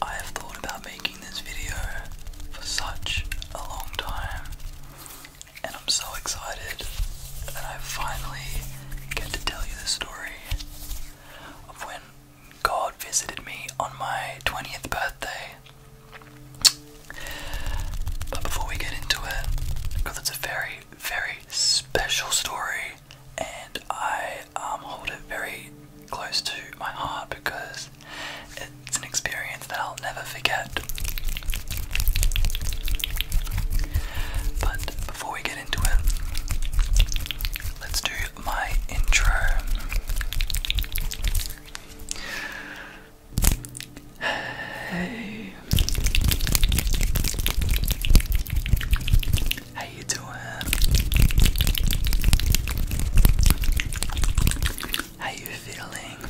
I have thought about making this video for such a long time, and I'm so excited that I finally get to tell you the story of when God visited me on my 20th birthday. But before we get into it, because it's a very, very special story, and I um, hold it very close to my heart because it's an experience that I'll never forget. But before we get into it, let's do my intro. Hey. How you doing? How you feeling?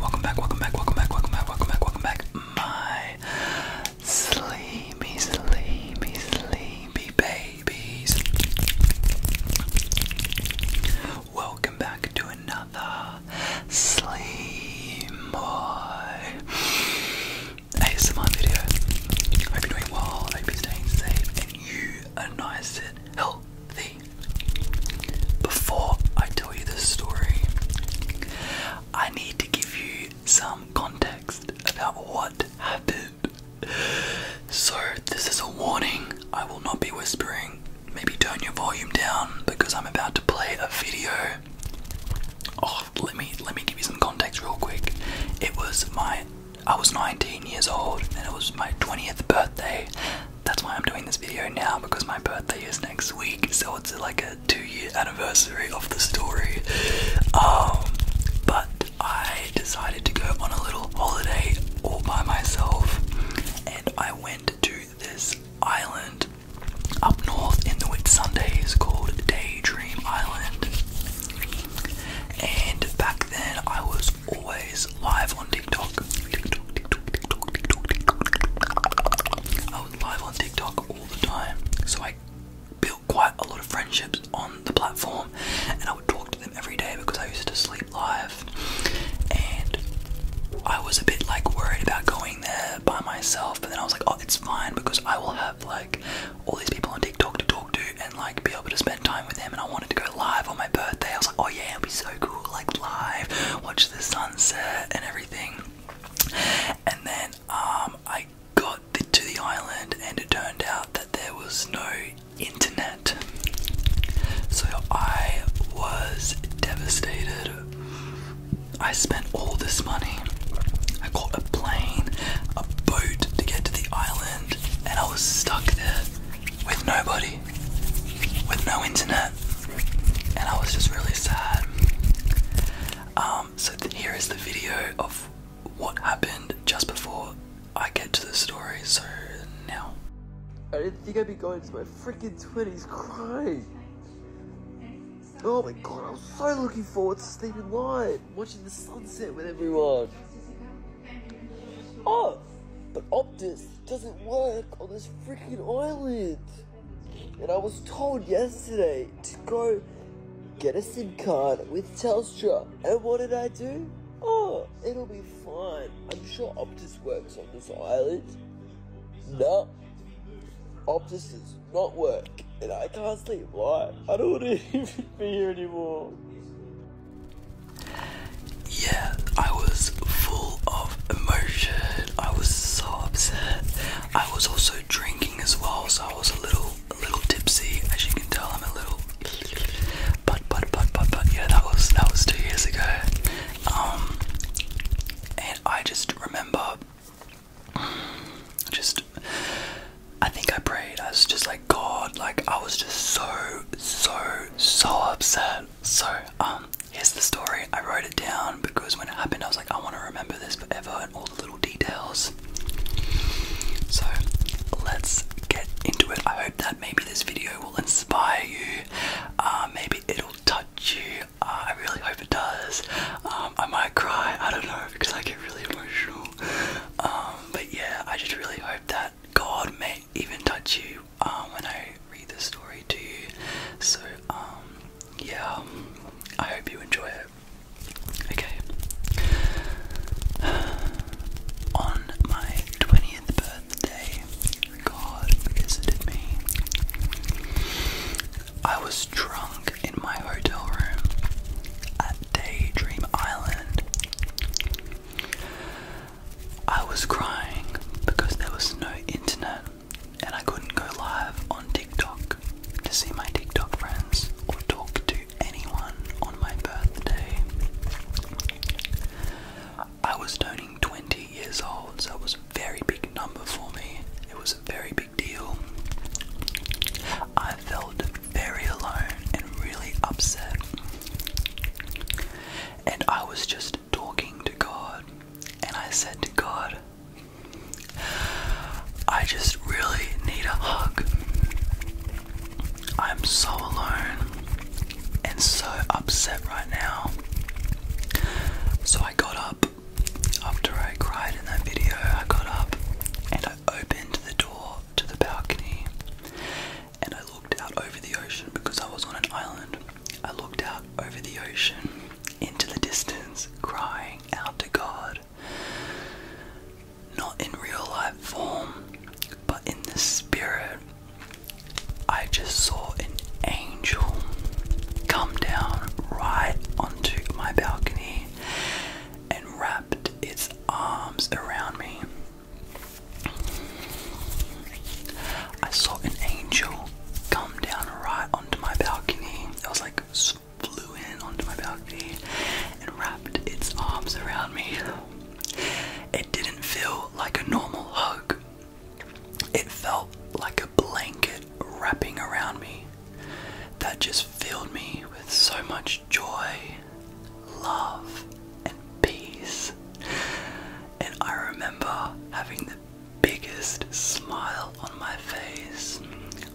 Welcome back, welcome back, welcome back, welcome back, welcome back, welcome back. My sleepy, sleepy, sleepy babies. Welcome back to another Sleep Boy ASMR video. Hope you're doing well, hope you're staying safe, and you are nice and healthy. Before I tell you this story, I need to give you some context about what happened. So, this is a warning. I will not be whispering. Maybe turn your volume down because I'm about to play a video. Oh, let me let me give you some context real quick. It was my I was 19 years old and it was my 20th birthday. That's why I'm doing this video now because my birthday is next week, so it's like a two-year anniversary of the story. Um, but I decided to go on a little holiday all by myself, and I went to this island up north in the Whit Sunday is called Daydream Island. And back then I was always live on TikTok. I was live on TikTok all the time. So I built quite a lot of friendships on the platform and I would talk to them every day because I used to sleep live. And I was a bit like worried about going there by myself, but then I was like, oh, it's fine because I will have like all these people on TikTok to talk to and like be able to spend time with them. And I wanted to go live on my birthday. I was like, oh yeah, it'll be so cool, like live, watch the sunset and everything. And then um, I got to the island, and it turned out that there was no internet. So I was devastated. I spent all this money. I got a plane, a boat to get to the island, and I was stuck there with nobody, with no internet, and I was just really sad. Um, so here is the video of what happened just before I get to the story. So now. I didn't think I'd be going to my freaking 20s crying. Oh my god, I'm so looking forward to sleeping light, watching the sunset with everyone. Oh, but Optus doesn't work on this freaking island. And I was told yesterday to go get a SIM card with Telstra. And what did I do? Oh, it'll be fine. I'm sure Optus works on this island. No, Optus is not work, and I can't sleep. Why? I don't want to even be here anymore. Yeah, I was full of emotion. I was so upset. I was also drinking as well, so I was a little, a little tipsy. As you can tell, I'm a little. But, but, but, but, but, yeah, that was that was two years ago. Um, and I just remember just I think I prayed. I was just like God, like I was just so so so upset. So um here's the story. I wrote it down because when it happened I was like I want to remember this forever and all the little details. So let's get into it. I hope that maybe this video will inspire you. Uh, maybe it'll touch you. Ah, I really hope it does. Um, I might cry. I don't know because I get really emotional. Um, but yeah, I just really hope that God may even touch you um, when I read this story to you. So yeah, I hope you enjoy it. Okay. On my 20th birthday, God visited me. I was drunk in my hotel room at Daydream Island. I was crying because there was no internet and I couldn't go live on TikTok to see my TikTok friends or talk to anyone on my birthday. I was turning 20 years old, so it was a very big number for me. It was a very big deal. I felt very alone and really upset. And I was just talking to God, and I said to God, I just really need a hug. I'm so alone and so upset right now. So I got up after I cried in that video, I got up and I opened the door to the balcony and I looked out over the ocean because I was on an island. I looked out over the ocean into the distance, crying out to God. Not in real life form, but in the spirit. I just saw an angel come down right onto my balcony and wrapped its arms around me. I saw an angel come down right onto my balcony. It was like flew in onto my balcony and wrapped its arms around me. It didn't feel like a normal hug. It felt like a blanket wrapping around me that just filled me with so much joy, love, and peace. And I remember having the biggest smile on my face.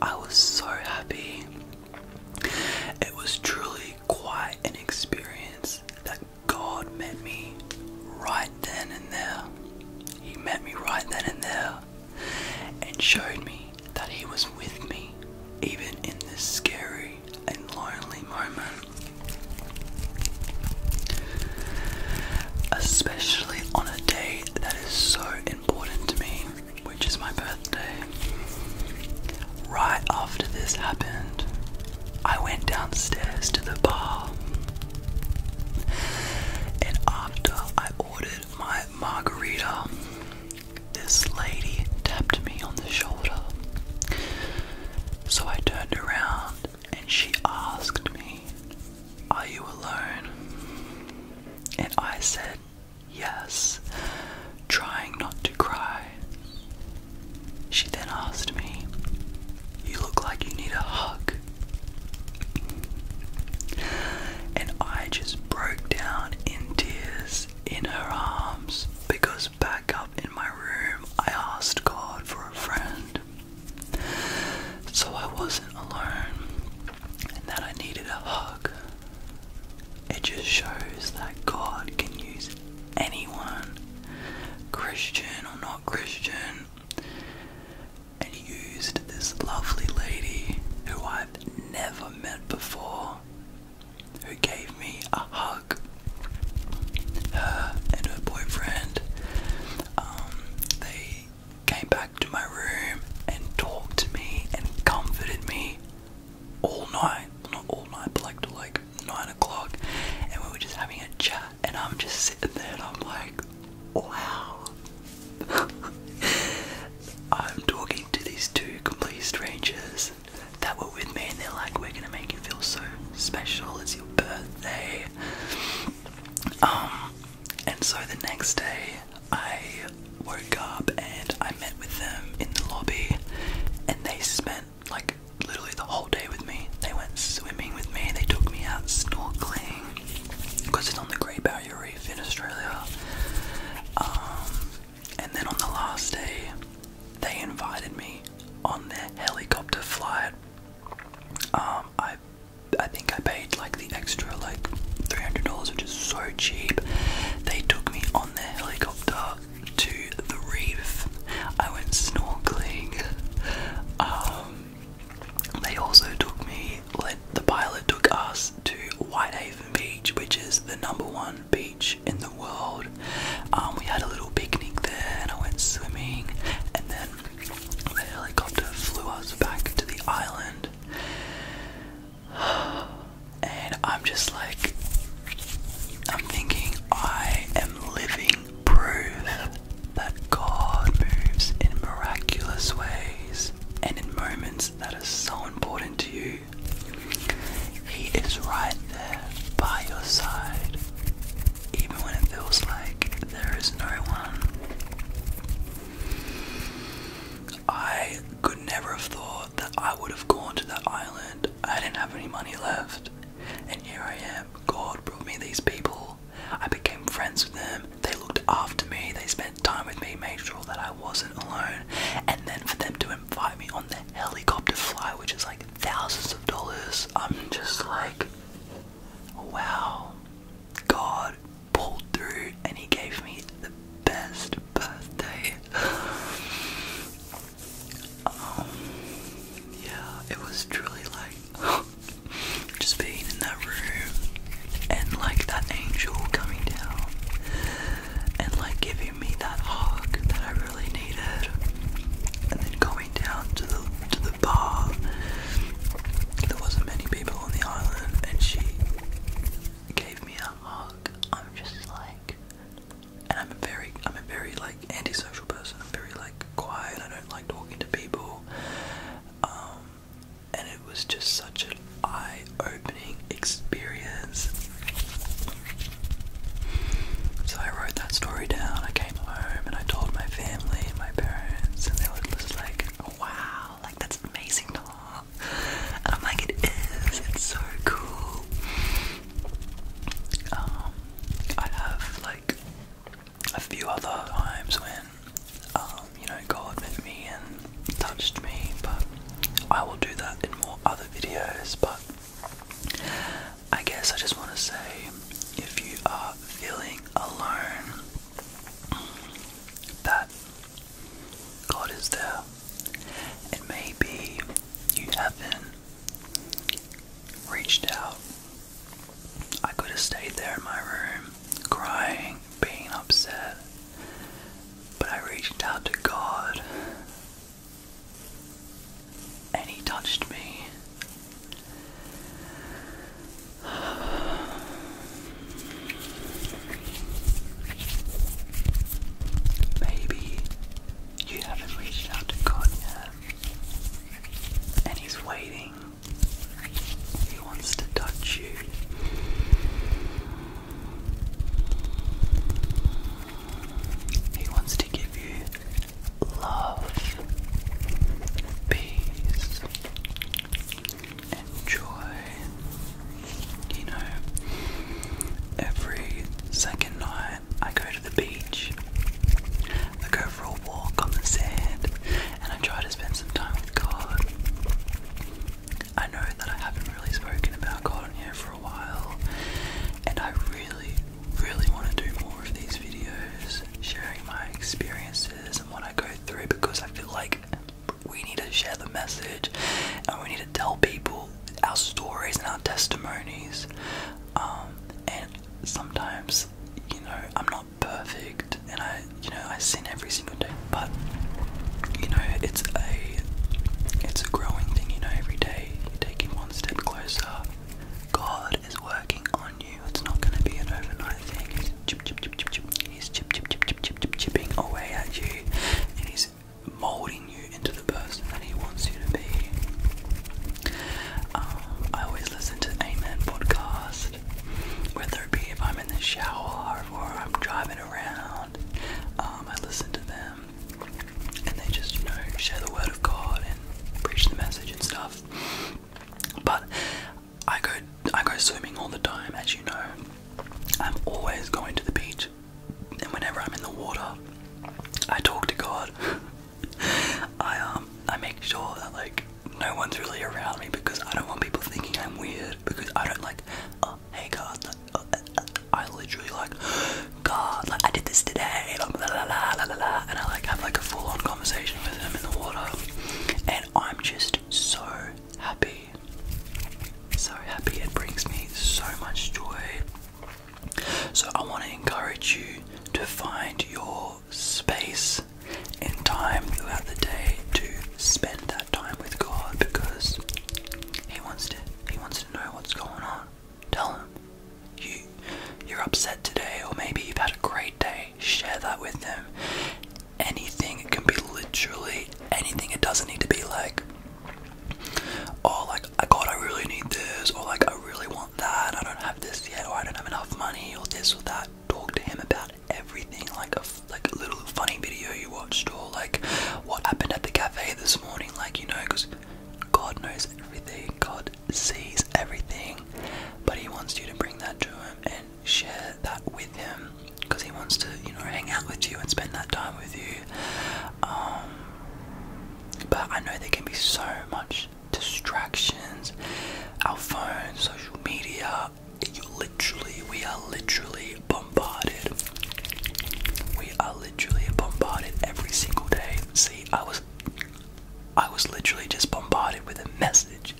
I was so happy. It was truly quite an experience that God met me right then and there. He met me right then and there and showed me that He was with me even in this scary and lonely moment. Especially on a day that is so important to me, which is my birthday. Right after this happened, I went downstairs to the bar. And after I ordered my margarita, this lady tapped me on the shoulder. So I turned around and she asked me, Are you alone? And I said, Yes, trying not to cry. She then asked me, You look like you need a hug. And I just broke down in tears in her arms because back up in my room I asked God for a friend. So I wasn't alone and that I needed a hug. It just shows that God can use anyone, Christian or not Christian, and used this lovely lady who I've never met before, who gave me a hug. Her and her boyfriend, um, they came back to my room and talked to me and comforted me all night. Not all night, but like like nine o'clock, and we were just having a chat. And I'm just sitting there, and I'm like, Wow. I'm talking to these two complete strangers that were with me, and they're like, "We're gonna make you feel so special. It's your birthday." Um, and so the next day, I woke up and I met with them in the lobby, and they spent like literally the whole day with me. They went swimming with me. They took me out snorkeling because it's on the Great Barrier. Barrier Reef in Australia. Um, and then on the last day, they invited me on their helicopter flight. Um, I, I think I paid like the extra like three hundred dollars, which is so cheap. They took me on their helicopter to the reef. I went snorkeling. Um, they also took me, like, the pilot took us to Whitehaven Beach, which is the number one beach in the world. Um, we had a little picnic there and I went swimming, and then the helicopter flew us back to the island. And I'm just like, I'm thinking, I am living proof that God moves in miraculous ways and in moments that are so important to you. He is right there by your side, even when it feels like there is no one. I could never have thought that I would have gone to that island. I didn't have any money left, and here I am. God brought me these people I became friends with them. They looked after me. They spent time with me, made sure that I wasn't alone. And then for them to invite me on the helicopter flight, which is like thousands of dollars, I'm just like, wow. God pulled through and he gave me the best birthday. Um, yeah, it was truly like just being in that room and like that angel coming down and like giving me that hug that I really needed, and then going down to the to the bar. There wasn't many people on the island, and she gave me a hug. I'm just like, and I'm a very, I'm a very like antisocial person. I'm very like quiet. I don't like talking to people. Um, and it was just such an eye-opening experience. So I wrote that story down. I came home and I told my family and my parents, and they were just like, "Wow, like that's amazing!" Aww. And I'm like, "It is. It's so cool." Um, I have like a few other times when, um, you know, God met me and touched me, but I will do that in more other videos. But I guess I just want to say if you are feeling alone, that God is there, and maybe you haven't reached out I could have stayed there in my room, crying, being upset, but I reached out to God and He touched me. Maybe you haven't reached out to God and He's waiting he wants to touch you. He wants to give you love, peace, and joy. You know, every second night I go to the beach. I go for a walk on the sand and I try to spend some time with God. I know that I haven't really spoken about God on here for a while, and I really, really want to do more of these videos, sharing my experiences and what I go through because I feel like we need to share the message and we need to tell people our stories and our testimonies. Um, and sometimes, you know, I'm not perfect, and I, you know, I sin every single day. But you know, it's a, it's a growing thing. You know, every day you're taking one step closer. God is working on you. It's not going to be an overnight thing. He's chip, chip, chip, chip, chip. chipping away at you, and he's molding you into the person that he wants you to be. Um, I always listen to Amen podcast. Whether it be if I'm in the shower or I'm driving around, um, I listen to them and they just, you know, share the word of God and preach the message and stuff. But I go I go swimming all the time, as you know. I'm always going to the beach and whenever I'm in the water I talk to God. I um I make sure that like no one's really around me because I don't want people thinking I'm weird because I don't like oh hey God! Oh, eh, eh. I literally like God like I did this today blah, blah, blah, blah, blah, blah, and I like have like a full on conversation with him in the water and I'm just so happy so happy it brings me so much joy so I want to encourage you to find your space and time throughout the day to spend that time with God because He wants to He wants to know what's going on. Tell him. You you're upset today or maybe you've had a great day. Share that with him. Anything, it can be literally anything. It doesn't need to be like oh like God I really need this or like I really want that. I don't have this yet or I don't have enough money or this or that. Talk to him about everything, like a like a little funny video you watched, or like what happened at the cafe this morning, like you know, because God knows everything, God sees everything, but He wants you to bring that to Him and share that with Him, because He wants to, you know, hang out with you and spend that time with you. Um, but I know there can be so much distractions, our phones, social media. literally, we are literally bombarded. We are literally bombarded every single day. See, I was, I was literally just bombarded with a message.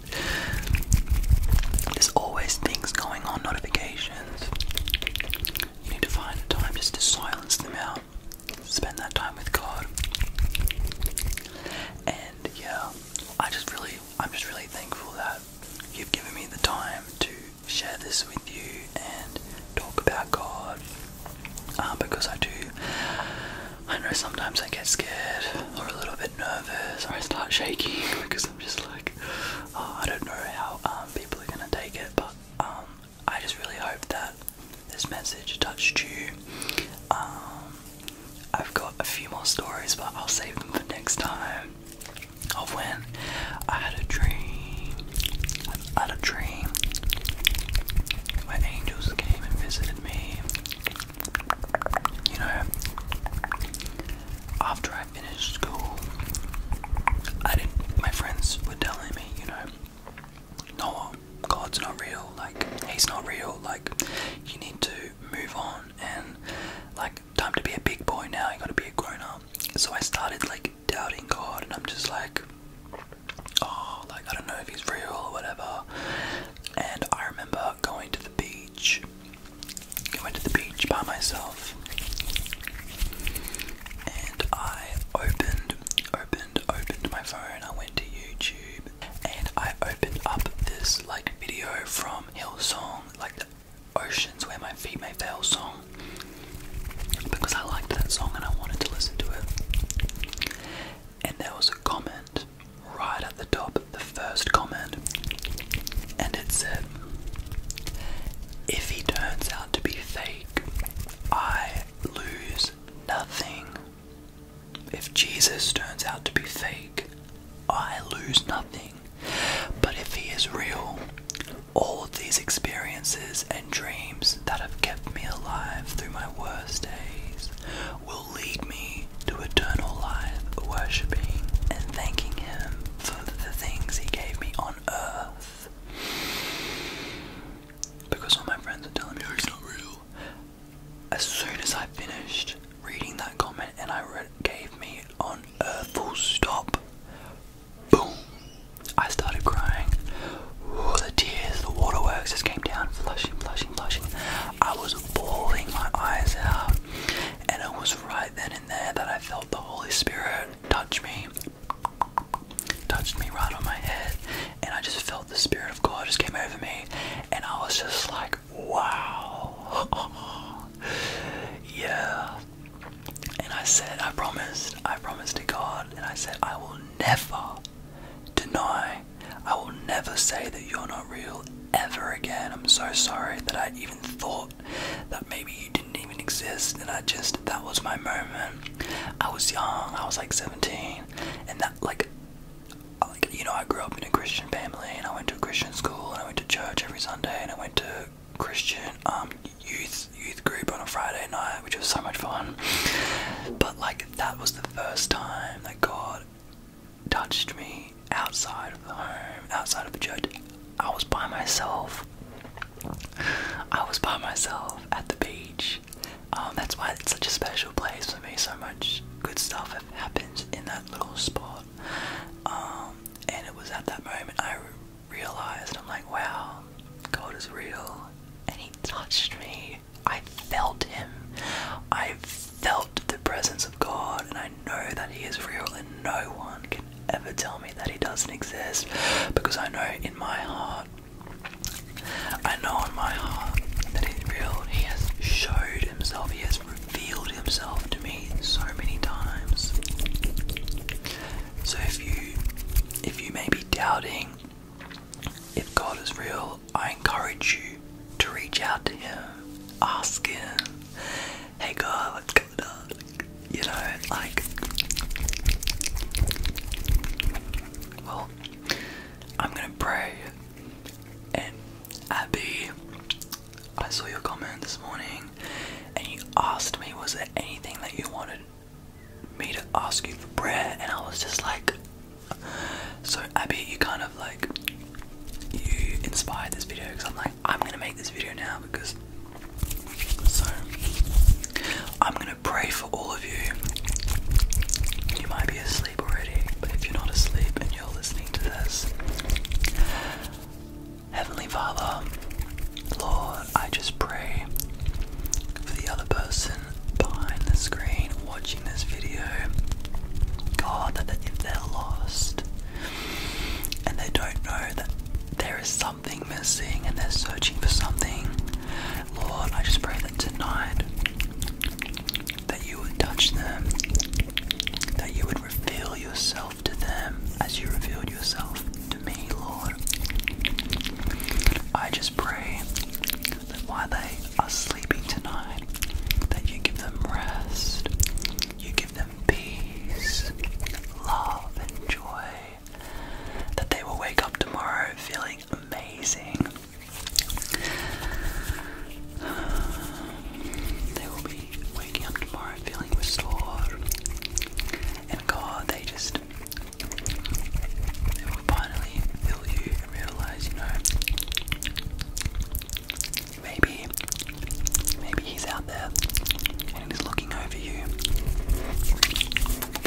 There's always things going on, notifications. You need to find a time just to silence them out. Spend that time with God. And yeah, I just really, I'm just really thankful that you've given me the time to share this with you and talk about God. Uh, because I do, I know sometimes I get scared or a little bit nervous or I start shaking because I'm just like, oh, I don't know how um, people are gonna take it. But um, I just really hope that this message touched you. Um, I've got a few more stories, but I'll save them for next time. Of when I had a dream. I had a dream where angels came and visited me. You know, after I finished school, I didn't. My friends were telling me, you know, no, God's not real. Like he's not real. Like you need to move on and like time to be a big boy now, I gotta be a grown up. So I started like doubting God and I'm just like oh like I don't know if he's real or whatever. And I remember going to the beach. I went to the beach by myself and I opened opened opened my phone. I went to YouTube and I opened up this like video from Hill Song, like the Oceans Where My Feet May Fail song because I liked that song and I wanted to listen to it. And there was a comment right at the top, the first comment, and it said, If he turns out to be fake, I lose nothing. If Jesus turns out to be fake, I lose nothing. But if he is real, all these experiences and dreams that have kept me alive through my worst days will lead me to eternal life, worshipping and thanking him for the things he gave me on earth. Because all my friends are telling me He's not real as soon as I finished reading that comment and I read gave me on a full stop, boom, I started crying. Oh, the tears, the waterworks just came down, flushing, flushing, flushing. I was bawling my eyes out, and it was right then and there that I felt the Holy Spirit touch me, touched me right on my head, and I just felt the Spirit of God just came over me, and I was just like, wow, yeah. And I said, I promised, I promised to God, and I said, I will never deny, I will never say that you're not real ever again. I'm so sorry that I even thought that maybe you didn't even exist, and I just, that was my moment. I was young, I was like 17, and that, like, you know, I grew up in a Christian family, and I went to a Christian school, and I went to church every Sunday, and I went to Christian um, youth youth group on a Friday night, which was so much fun. But like, that was the first time that God touched me outside of the home, outside of the church. I was by myself. I was by myself at the beach um, that's why it's such a special place for me. So much good stuff has happened in that little spot. Um, and it was at that moment I realized I'm like, wow, God is real. And He touched me. I felt Him. I felt the presence of God, and I know that He is real, and no one can ever tell me that He doesn't exist because I know in my heart I know in my heart that he's real. He has showed himself, he has revealed himself to me so many times. So if you if you may be doubting if God is real, I encourage you to reach out to him. Ask him, hey God, what's going on? You know, like well, I'm gonna pray and Abby, I saw your comment this morning and you asked me, was there anything that you wanted me to ask you for prayer? And I was just like, so Abby, you kind of like, you inspired this video because I'm like, I'm gonna make this video now because so I'm gonna pray for all of you, you might be asleep already, but if you're not asleep and you're listening to this, Heavenly Father, Lord, I just pray for the other person behind the screen watching this video. God, that if they're lost and they don't know that there is something missing and they're searching for something, Lord, I just pray that tonight that you would touch them, that you would reveal yourself to them as you revealed yourself to me, Lord. I just pray that while they are sleeping tonight, that you give them rest, you give them peace, love, and joy, that they will wake up tomorrow feeling amazing, They will be waking up tomorrow feeling restored. And God, they just. They will finally feel you and realize, you know, maybe. Maybe he's out there and he's looking over you.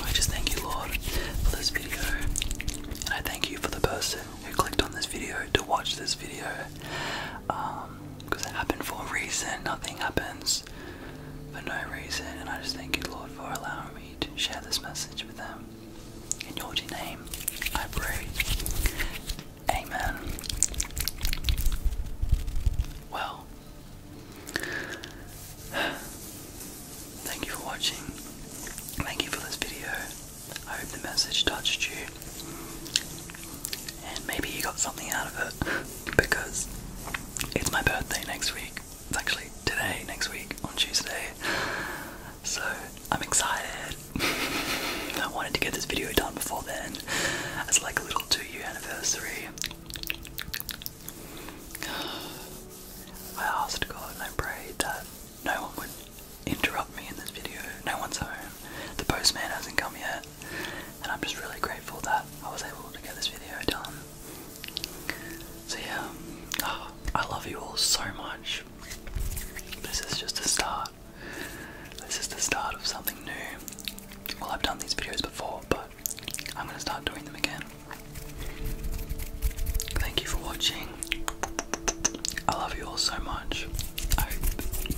I just thank you, Lord, for this video. And I thank you for the person who clicked on this video to watch this video because um, it happened for a reason. Nothing happens for no reason, and I just thank you, Lord, for allowing me to share this message with them. In your name, I pray. Amen. Well, Thank you for watching. Thank you for this video. I hope the message touched you. And maybe you got something out of it because it's my birthday next week. It's actually today, next week, on Tuesday. So I'm excited. I wanted to get this video done before then. It's like a little two year anniversary. I asked God and I prayed that no one would interrupt me in this video. No one's home. The postman hasn't come yet. And I'm just really grateful that I was able to get this video done. So yeah, ah, I love you all so much. This is just the start. This is the start of something new. Well, I've done these videos before, but I'm going to start doing them again. Thank you for watching. I love you all so much.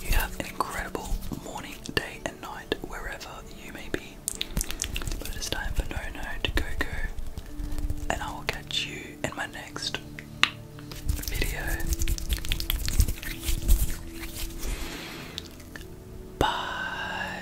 you have an incredible morning, day, and night wherever you may be. But it is time for No No to go go, and I will catch you in my next video. Bye.